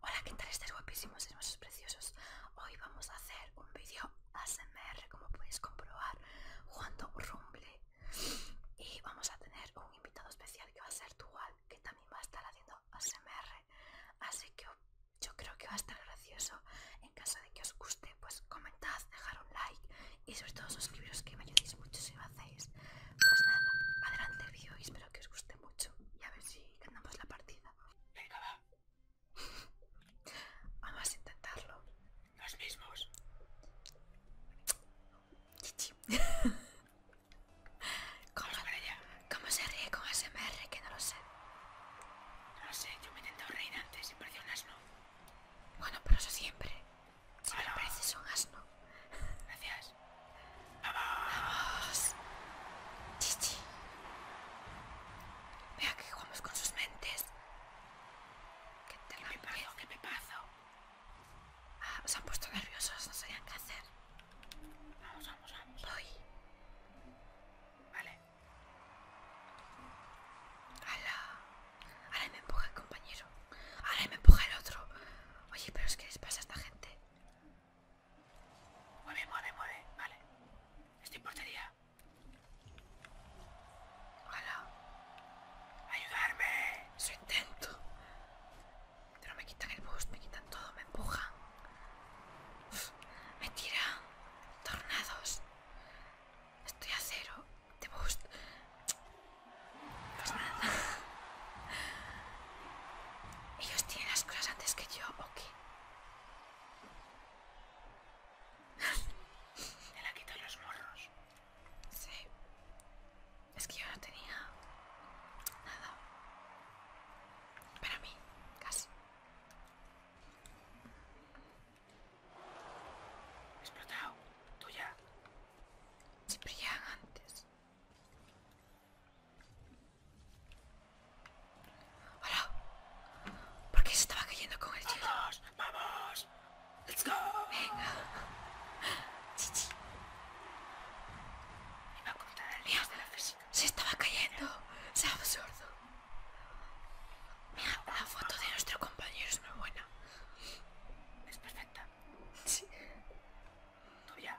Hola, ¿qué tal? Estáis guapísimos, hermosos, preciosos. Hoy vamos a hacer un vídeo ASMR, como podéis comprobar, jugando Rumble. Y vamos a tener un invitado especial que va a ser Dual, que también va a estar haciendo ASMR. Así que yo creo que va a estar gracioso. En caso de que os guste, pues comentad, dejad un like y sobre todo suscribiros que me ayudéis mucho si lo hacéis. Pues nada, adelante el vídeo y espero que os guste mucho y a ver si ganamos la partida. Venga, va. Vamos a intentarlo. Los mismos. Chichi. ¿Cómo, ¿Cómo se ríe con SMR? Que no lo sé. No lo sé, yo me he intentado reír antes y parecía un asno. Bueno, pero eso siempre. Siempre parece pareces un asno. Gracias. Vamos. Chichi. Vea que jugamos con sus mentes. ¿Qué, te lo me paso? ¿Qué me paso? Ah, se han puesto nerviosos, no sabían qué hacer. Vamos, vamos, vamos. Voy. Vale. ¡Hala! Ahora me empuja el compañero. Ahora me empuja el otro. Oye, pero es que les pasa a esta gente. Mueve, mueve, mueve. Vale. Estoy portería. Ojalá. Ayudarme. Eso intento. Pero me quitan el boost, me quitan todo, me empujan. me tiran. Tornados. Estoy a cero de boost. Pues nada. ¿Ellos tienen las cosas antes que yo o qué? la quito los morros. Sí. Es que yo no tenía nada. Para mí, casi. Explotado. Tuya. Siempre llegan antes. Hola. ¿Por qué se estaba cayendo con el chico? ¡Vamos! ¡Vamos! ¡Let's go! Venga. Chichi. Iba a contar el de Se estaba cayendo. ¡Es absurdo. Mira, la foto de nuestro compañero es muy buena. Es perfecta. Sí. ya!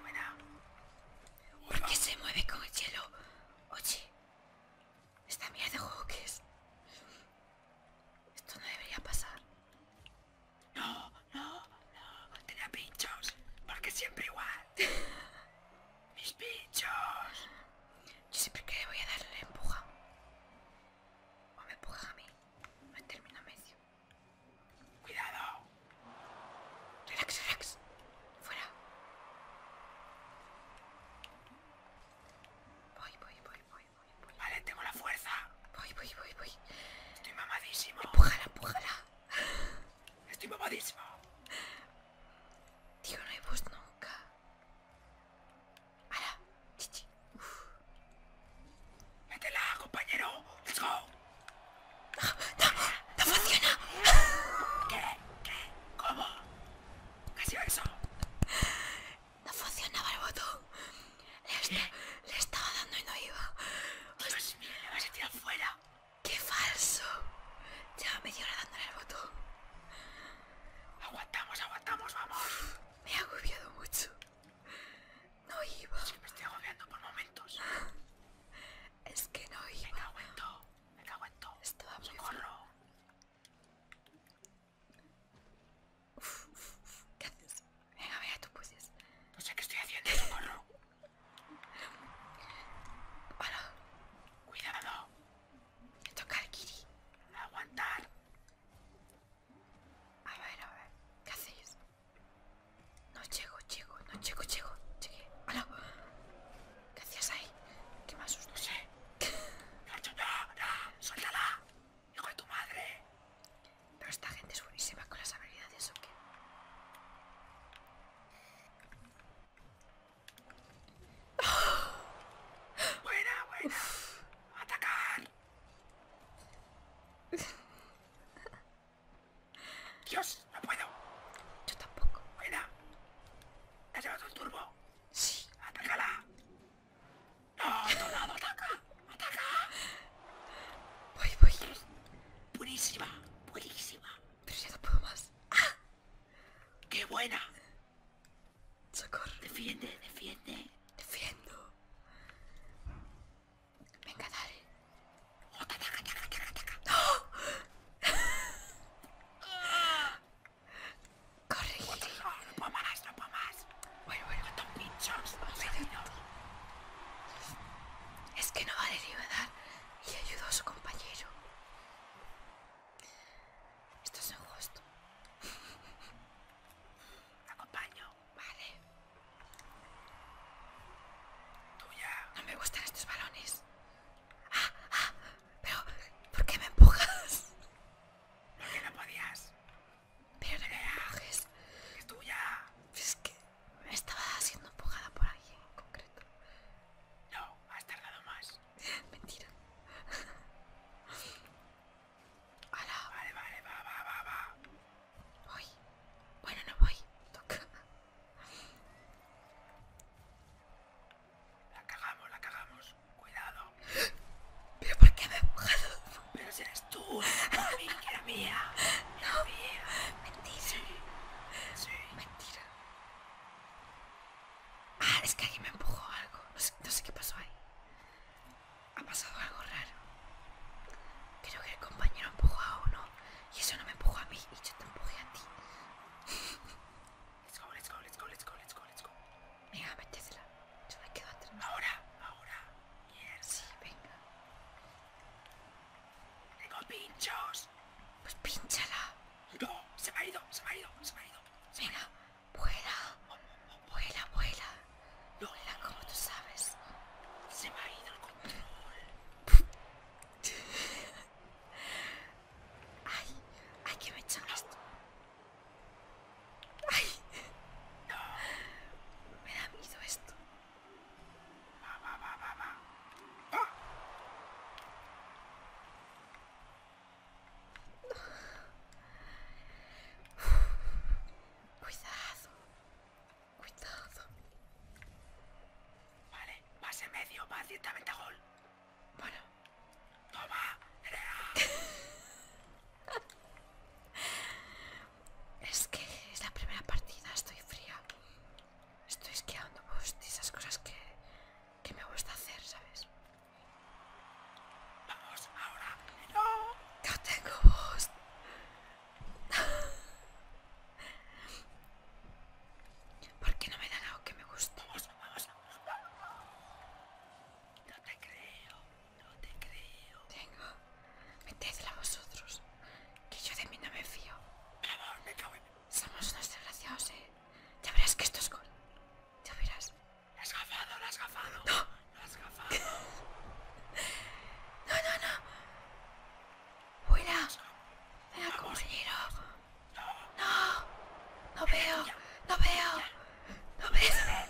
Bueno, ¿Por qué se mueve con el hielo? Oye, esta mierda de juego Esto no debería pasar. No, no, no. Tenía pinchos. Porque siempre igual. Mis pinchos. Yo siempre que voy a darle empuja. O me empuja a mí. Me termino medio. Cuidado. Relax, relax. Fuera. Voy, voy, voy, voy, voy, voy. Vale, tengo la fuerza. Voy, voy, voy, voy. Estoy mamadísimo. Empújala, empújala. Estoy mamadísimo. Tío, no hay voz nunca. ¡Hala! Chichi. Uf. Métela, compañero. Let's go. No, no, no funciona. ¿Qué? ¿Qué? ¿Cómo? ¿Qué ha sido eso? No funcionaba el botón. Le, le estaba dando y no iba. Dios mío, le va a tirar fuera. ¡Qué falso! Ya me hora dándole el botón. Aguantamos, aguantamos, vamos. Me ha agobiado mucho. No iba. que me estoy agobiando por momentos. es que no iba. Venga, aguento, venga, todo. Esto va ¿Qué haces? Venga, a tú puedes. No sé qué estoy haciendo, socorro. Hola. Cuidado. Me toca el kiri. Aguantar. A ver, a ver, ¿qué hacéis? No llego, llego, no llego, llego, llegué. ¡Hola! ¿Qué hacías ahí? ¿Qué más asustó? No sé. No, no, no, suéltala. Hijo de tu madre. Pero esta gente es buenísima con las habilidades, ¿o qué? Buena, buena. Atacar. Dios, no puedo. Yo tampoco. Buena. ¿Te has llevado un turbo? Sí. ¡Atácala! ¡No, ataca! ¡Ataca! Voy, voy. Buenísima, buenísima. Pero ya no puedo más. ¡Ah! ¡Qué buena! Socorro. Defiende, defiende. Defiendo. Venga, dale. ¡No! Corre, Giri. No puedo más, no puedo más. Bueno, bueno. Están pinchos. Es que no vale ni a dar y ayudo a su compañero. Esto es justo. Acompaño. Vale. Tuya. No me gustan estos balones. Ah, ah, pero ¿por qué me empujas? Porque no podías. Pero no me empujes. Es tuya. Es que estaba siendo empujada por alguien en concreto. No, has tardado más. Mentira. ¡Hala! Vale, vale, va, va, va, va. Voy. Bueno, no voy. Toca. La cagamos, la cagamos. Cuidado. ¿Pero por qué me he empujado? Pero si eres tú, mi mía. no, mía. Mentira. Mentira. Ah, es que alguien me empujó algo. no sé qué pasó ahí. Ha pasado algo raro. Creo que el compañero empujó a uno y eso no me empujó a mí y yo te empuje a ti. Let's go, let's go, let's go, let's go, let's go, let's go. Venga, métesela. Yo me quedo atrás. Ahora, ahora. yes. Sí, venga. Tengo pinchos. Pues pinchala. No, se me ha ido, se me ha ido, se me ha ido. Venga, vuela. Vuela, vuela. Lola, como tú sabes, se me ha ido el control. Ay, hay que me echar esto. Ay, Me da miedo esto. Va, va, va, va, ¡Ah! Cuidado. Cuidado. Vale, más en medio, más directamente a gol. Bueno. Toma, Es que es la primera partida, estoy fría. Estoy esquiando pues, esas cosas que, que me gusta hacer, ¿sabes? Vamos, ahora. No. No tengo ¿Por qué no me dan algo que me guste? Vamos, vamos, No te creo, no te creo. Tengo. Metedla vosotros. Que yo de mí no me fío. Vamos, me cago Somos unos desgraciados, eh. Ya verás que esto es gol. Ya verás. La has gafado, la has gafado. No, no, no, no. fuera Me compañero. No. No veo. No veo. No veo.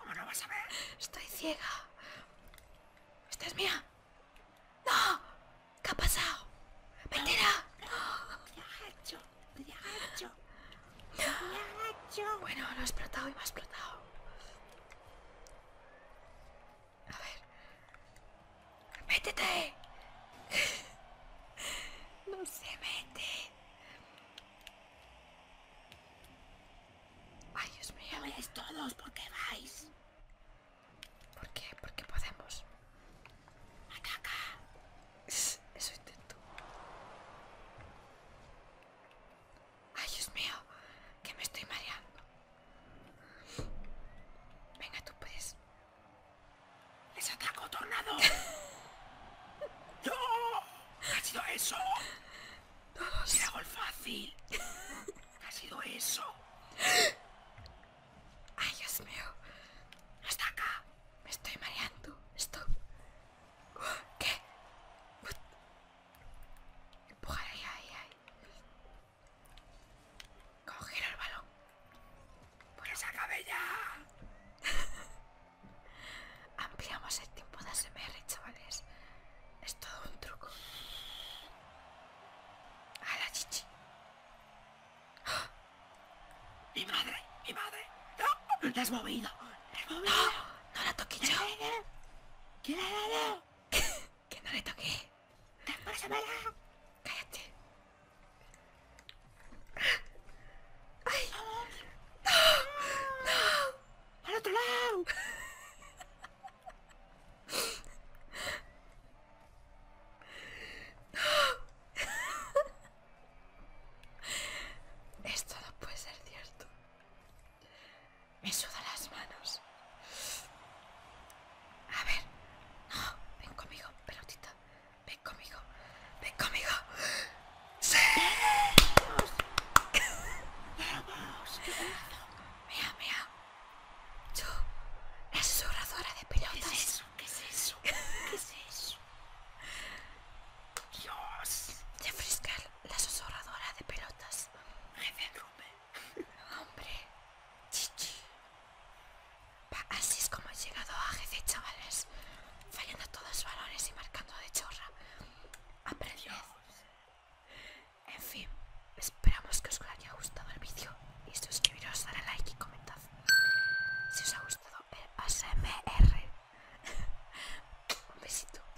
¿Cómo no vas a ver? Estoy ciega. Esta es mía. No. ¿Qué ha pasado? Mentira. ¡No! Bueno, lo he explotado y me ha explotado. A ver. ¡Métete! no se mete. Ay, Dios mío. No vais. todos, ¿por qué vais? ¿Por qué? qué podemos. acá. Eso intento. Ay, Dios mío, que me estoy mareando. Venga, tú puedes. ¡Les ataco, tornado! ¡No! ¡Ha sido eso! Todos. ¡Era gol fácil! ¡Ha sido eso! ¡Ay, Dios mío! ¡Hasta acá! Me estoy mareando. Esto. ¿Qué? Empujar ahí, ahí, ahí. Coger el balón. Por esa cabella. Ampliamos el tiempo de ASMR, chavales. Es todo un truco. A la chichi. ¡Mi madre! ¡Mi madre! ¡No! has movido! No, no la toqué yo. ¿Qué la dado? que no le toqué. ¡Traspásamela! Cállate. ¡Ay! ¡No! ¡No! ¡Al otro lado! Esto no puede ser cierto. Me sudan las manos. A ver. No, oh, ven conmigo, pelotita. Ven conmigo. Ven conmigo. ¡Sí! ¡Vamos! Yo, la susurradora de pelotas. ¿Qué es eso? ¿Qué es eso? Dios. la de pelotas. Hombre. Chichi. Así es como he llegado a GC, chavales. Fallando todos los balones y marcando de chorra. Aprended. En fin, esperamos que os haya gustado el vídeo. Y suscribiros, darle like y comentad. Si os ha gustado el ASMR. Un besito.